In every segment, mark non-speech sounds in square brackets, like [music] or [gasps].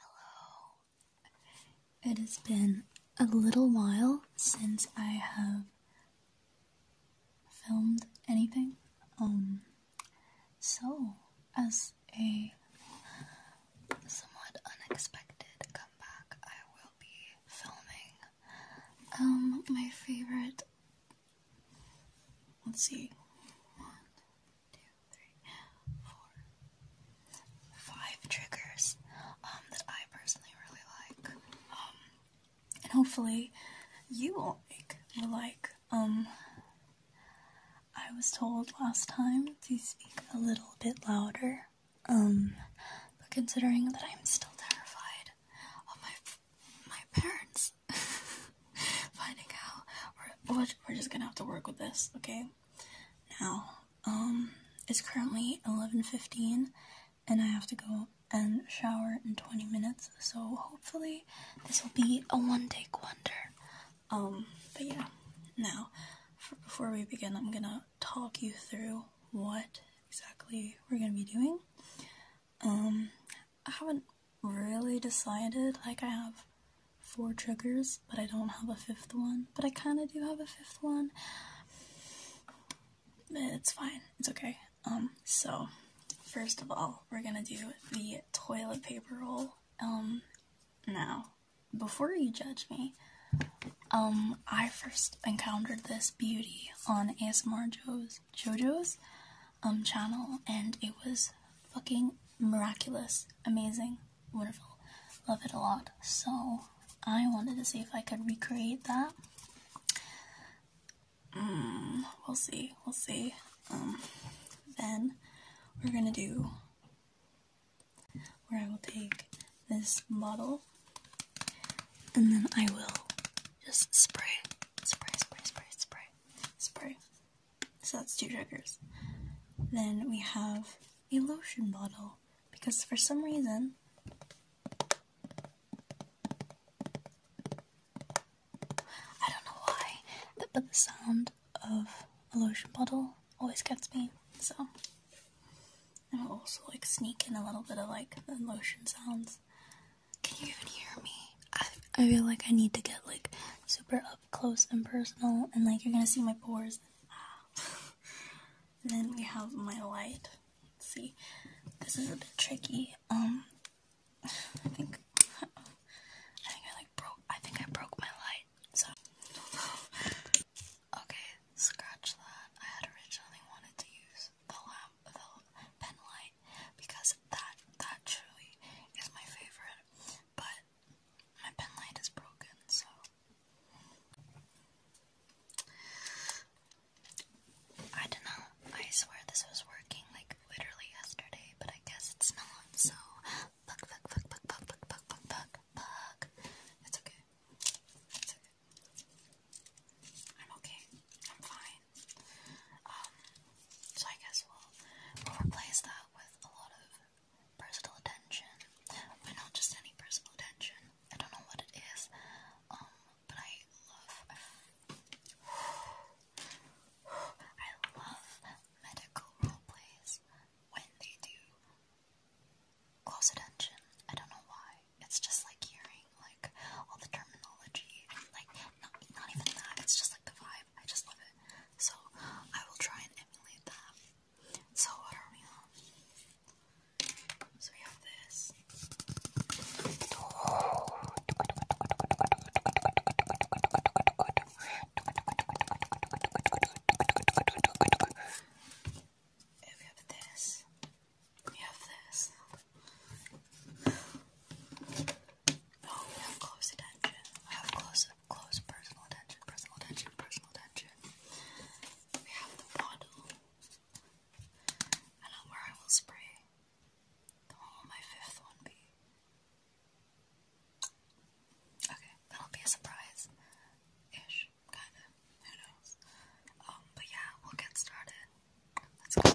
Hello. It has been a little while since I have filmed anything. Um so as a somewhat unexpected comeback, I will be filming um my favorite let's see two, three, four, five triggers um, that I personally really like. Um, and hopefully you will like. Um, I was told last time to speak a little bit louder. Um, but considering that I'm still terrified of my my parents [laughs] finding out, we're, we're just gonna have to work with this, okay? Now, um, it's currently 11:15 and I have to go and shower in 20 minutes. So hopefully this will be a one-take wonder. Um, but yeah. Now, before we begin, I'm going to talk you through what exactly we're going to be doing. Um, I haven't really decided like I have four triggers, but I don't have a fifth one. But I kind of do have a fifth one. It's fine. It's okay. Um, so first of all, we're gonna do the toilet paper roll. Um, now, before you judge me, um, I first encountered this beauty on ASMR Joe's JoJo's um channel, and it was fucking miraculous, amazing wonderful. Love it a lot. So I wanted to see if I could recreate that. Mm, we'll see. We'll see. Um, then we're gonna do where I will take this model, and then I will just spray, spray, spray, spray, spray, spray, so that's two triggers. Then we have a lotion bottle because for some reason I don't know why, but the sound of a lotion bottle always gets me. So i am also like sneaking a little bit of like the lotion sounds. Can you even hear me? I I feel like I need to get like super up close and personal, and like you're gonna see my pores. then we have my light. see, this is a bit tricky. Um, I think I think I like broke. I think I broke my light. So okay, scratch that. I had originally wanted to use the lamp, the pen light, because that that truly is my favorite. But my pen light is broken, so I don't know. I swear this was working like literally yesterday, but I guess it's not. So bug, bug, bug, bug, bug, bug, bug, bug, bug. It's okay. It's okay. I'm okay. I'm fine. Um. So I guess we'll, we'll replace that with a lot of personal attention, but not just any personal attention. I don't know what it is, um, but I love, [sighs] I love medical role plays when they do close attention. I don't know why. It's just like hearing like all the terminology like not even that. It's just like the vibe. I just love it. So I will try and emulate that. So what are we on? So we have this. we have this. We have this. Oh, we have close attention. We have close close personal attention, personal attention, personal attention. We have the bottle, and where I will spray, the will my fifth one be. Okay, that'll be a surprise ish, kinda. Who knows? Um, but yeah, we'll get started. Let's go.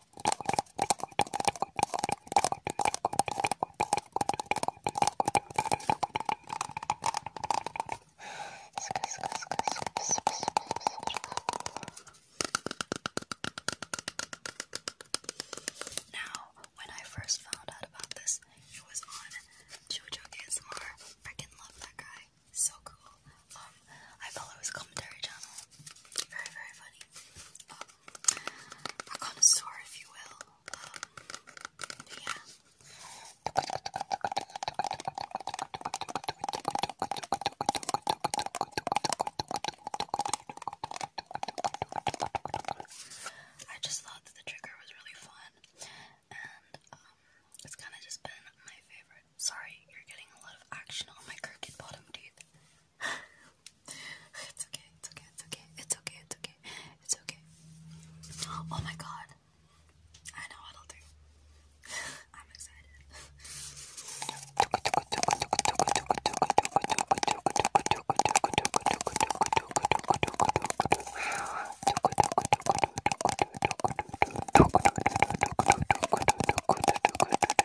Now, when I first found out about this, it was on JoJo ASMR. Freaking love that guy guy. So cool. Um, I follow his commentary channel. Very, very funny. Um, a connoisseur, if you will. Um, I just thought that the trigger was really fun, and um, it's kind of just been my favorite Sorry, you're getting a lot of action on my crooked bottom teeth. [laughs] it's okay, it's okay, it's okay, it's okay, it's okay, it's okay. Oh my god. I know what I'll do. [laughs] I'm excited. [laughs]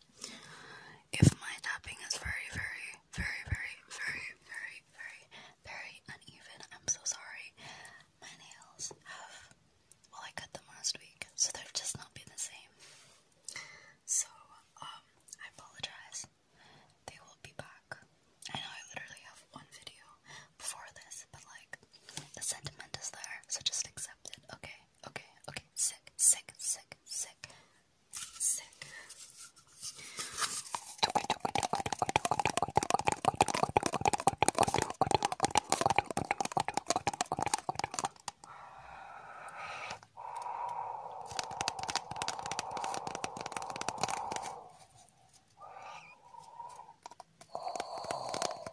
If my tapping is very, very, very, very, very, very, very, very uneven, I'm so sorry. My nails have, well, I cut them last week, so they've just not been the same. So, um, I apologize. They will be back. I know I literally have one video before this, but like, the sentiment is there, so just accept it, okay? okay, okay, sick, sick, sick, sick, sick.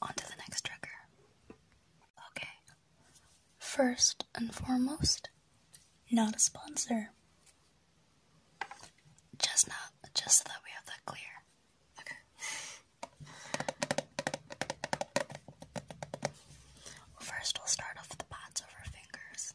On the next trigger. Okay. First and foremost, not a sponsor. Just not, just so that we have that clear. Okay. First, we'll start off the pads of our fingers.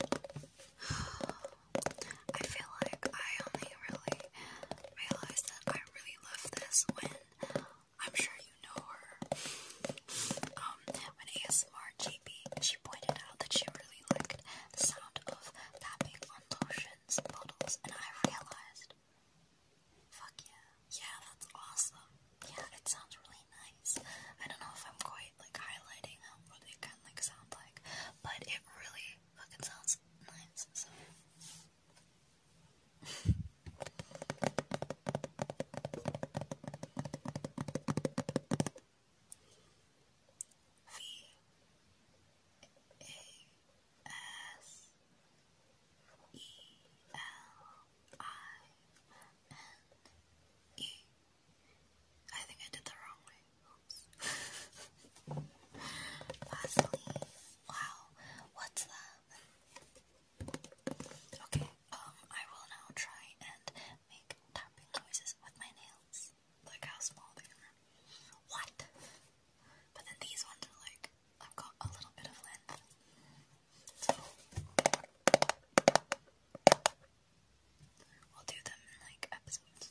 I feel like I only really realized that I really love this when I'm sure you know her. Um, when ASMR JP she pointed out that she really liked the sound of tapping on lotions bottles, and I realized, fuck yeah, yeah, that's awesome. Yeah, it sounds really nice. I don't know if I'm quite like highlighting how really can like sound like, but it really fucking sounds nice. So. V A S E L I N E I think I did the wrong way. Oops. [laughs] Lastly, wow, what's that? Okay, um, I will now try and make tapping noises with my nails. Look how small they are. What? But then these ones are like, I've got a little bit of length. So. We'll do them in like episodes.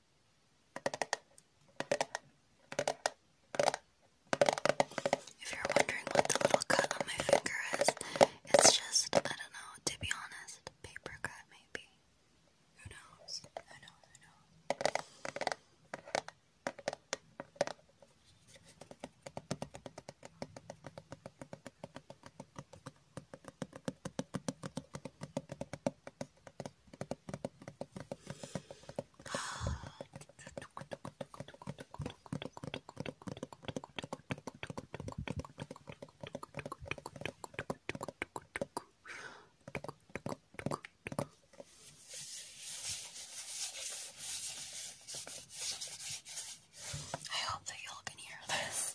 If you're wondering what the little cut on my finger is, it's just, I don't know, to be honest, paper cut maybe. Who knows? Who knows? Who knows? I hope that y'all can hear this.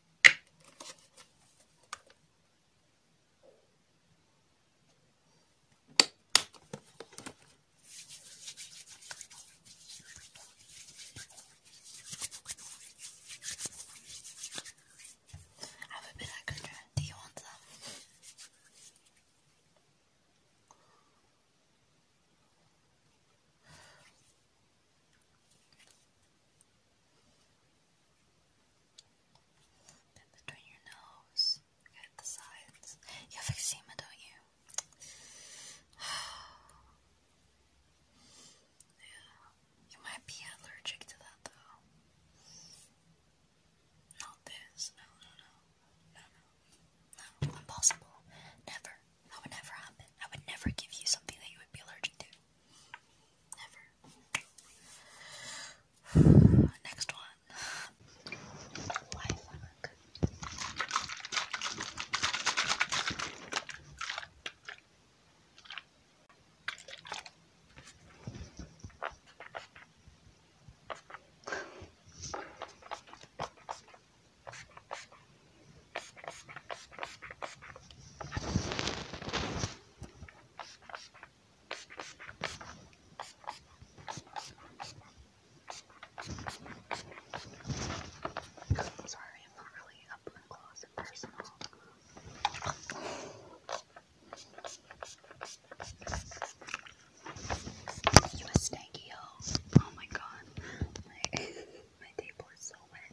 have a bit of control. Do you want some? between your nose, at the sides. You have eczema, don't you? [sighs] yeah. You might be allergic to that though. Not this. No, no, no. No, no. No, impossible. Never. That would never happen. I would never give you something that you would be allergic to. Never. [sighs] Next one. Life hack i sorry, I'm not really up and close You a snake, Oh my god. [laughs] my table is so wet.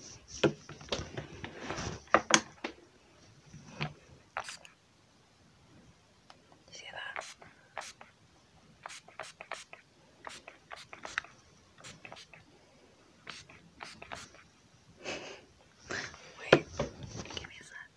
See that? Wait, give me a sec.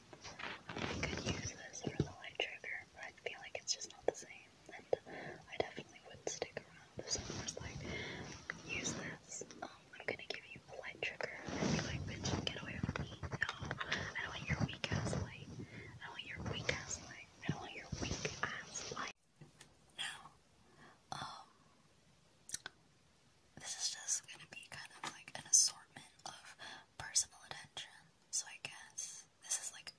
I could use this for the light trigger, but I feel like it's just not the same. I definitely would stick around if someone was like, use this, um, I'm gonna give you light trigger. I'd bitch, get away from me. No, I don't want your weak ass light. I don't want your weak ass light. I don't want your weak ass light. Now, um, this is just gonna be kind of like an assortment of personal attention. So I guess this is like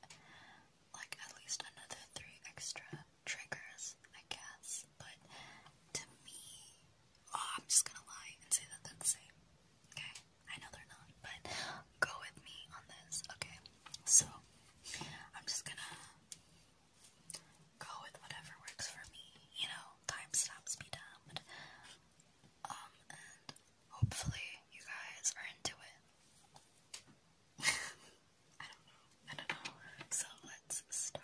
like at least another three extra triggers, I guess. But to me, oh, I'm just gonna lie and say that they're the same. Okay, I know they're not, but go with me on this. Okay, so I'm just gonna go with whatever works for me. You know, time stops be damned. Um, hopefully you guys are into it. [laughs] I don't know. I don't know. So let's start.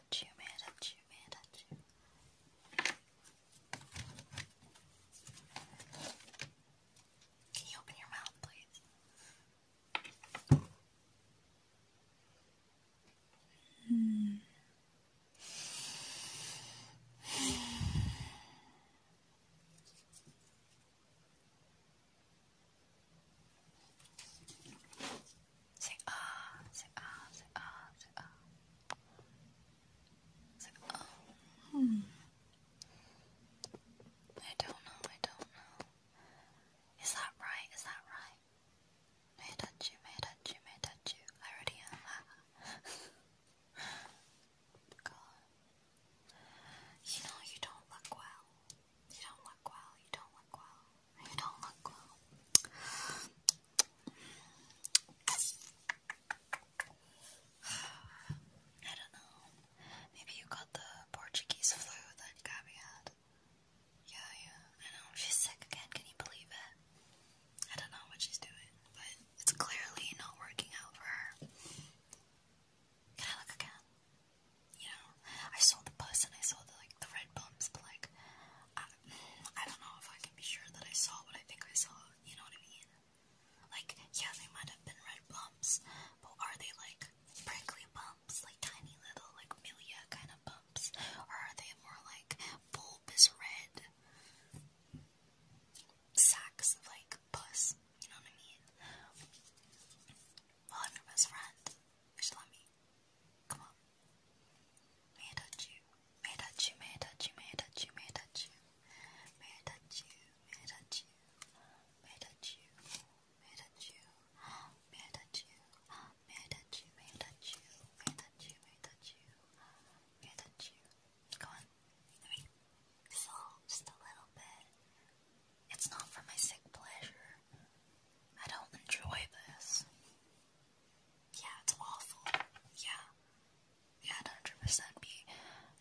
I touch you, may Can you open your mouth, please? Hmm. Say ah, say ah, say ah, say ah. Say ah. Hmm. I don't know, I don't know. Is that right? Is that right? May I you, may I you, may I you? I already am. [laughs] God. You know you don't look well. You don't look well. You don't look well. You don't look well. [sighs] I don't know. Maybe you got the Portuguese flu that Gabby had. Yeah, yeah. I know. She's sick again. Can you believe it? I don't know what she's doing, but it's clearly not working out for her. Can I look again? you know, I saw the bus and I saw the like the red bumps, but like I, I don't know if I can be sure that I saw what I think I saw. You know what I mean? Like, yeah, they might have been red bumps, but are they like prickly bumps, like tiny little like milia kind of bumps, or are they more like bulbous red sacks of like pus? You know what I mean? Well, I'm your best friend. You should let me Come on. May I touch you? May I touch you? May I touch you? May I touch you? May I touch you? May I touch you? May I touch you? May I touch you? May I touch you? May I touch you? May I touch you? May I touch you? May I touch you? May I touch you? May I touch you? Come on. Let me slow just a little bit. It's not for my sick pleasure. I don't enjoy this. Yeah, it's awful. Yeah. Yeah, 100% be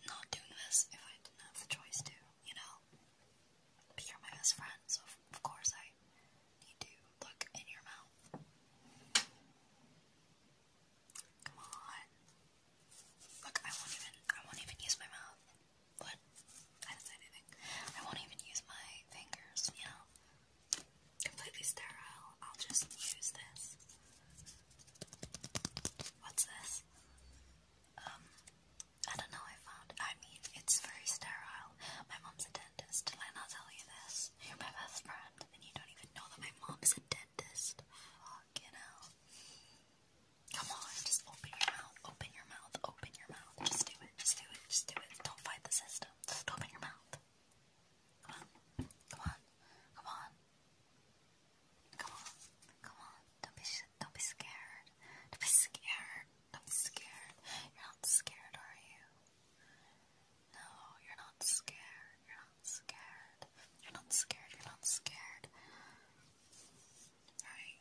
not doing this if I didn't have the choice to, you know? But you're my best friend, so of course I need to look in your mouth. Come on. Look, I won't even I won't even use my mouth. What? I do not say anything. I won't even use my fingers, you Completely sterile. I'll just use this. What's this? Um, I don't know, I found. I mean, it's very sterile. My mom's a dentist. Did I not tell you this? You're my best friend, and you don't even know that my mom is a dentist. Fucking hell. Come on, just open your mouth, open your mouth, open your mouth. Just do just do it, just do it. Don't fight the system. Just open your mouth. Come on, come on, come on. Come on, come on. Don't be, don't be scared. Don't be scared. Don't be scared. You're not scared, are you? No, you're not scared. You're not scared. You're not scared. You're not scared. Alright.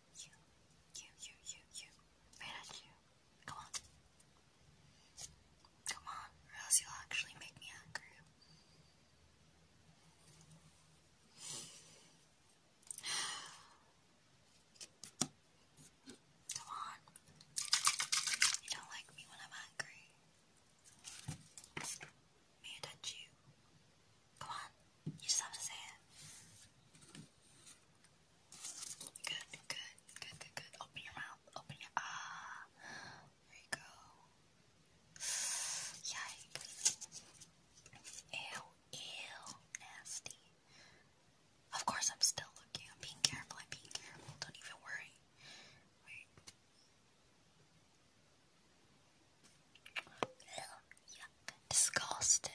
You, you, you, you, you. Right at you. Come on. Come on, or else you'll actually make me angry. [gasps] Come on. You don't like me when I'm angry. May I you? Come on. You just have it. Good, good, good, good, good. Open your mouth. Open your ah. There you go. Yikes. Ew, ew, nasty. Of course, I'm still looking. I'm being careful. I'm being careful. Don't even worry. Disgusting.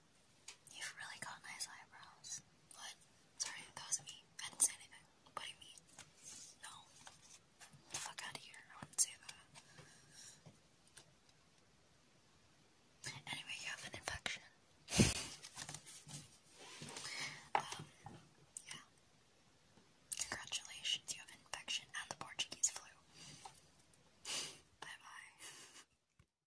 You've really got nice eyebrows. What? Sorry, that was me. I didn't say anything. What do you mean? No. fuck out of here. I wouldn't say that. Anyway, you have an infection. um, yeah. Congratulations, you have infection and the Portuguese flu. Bye bye.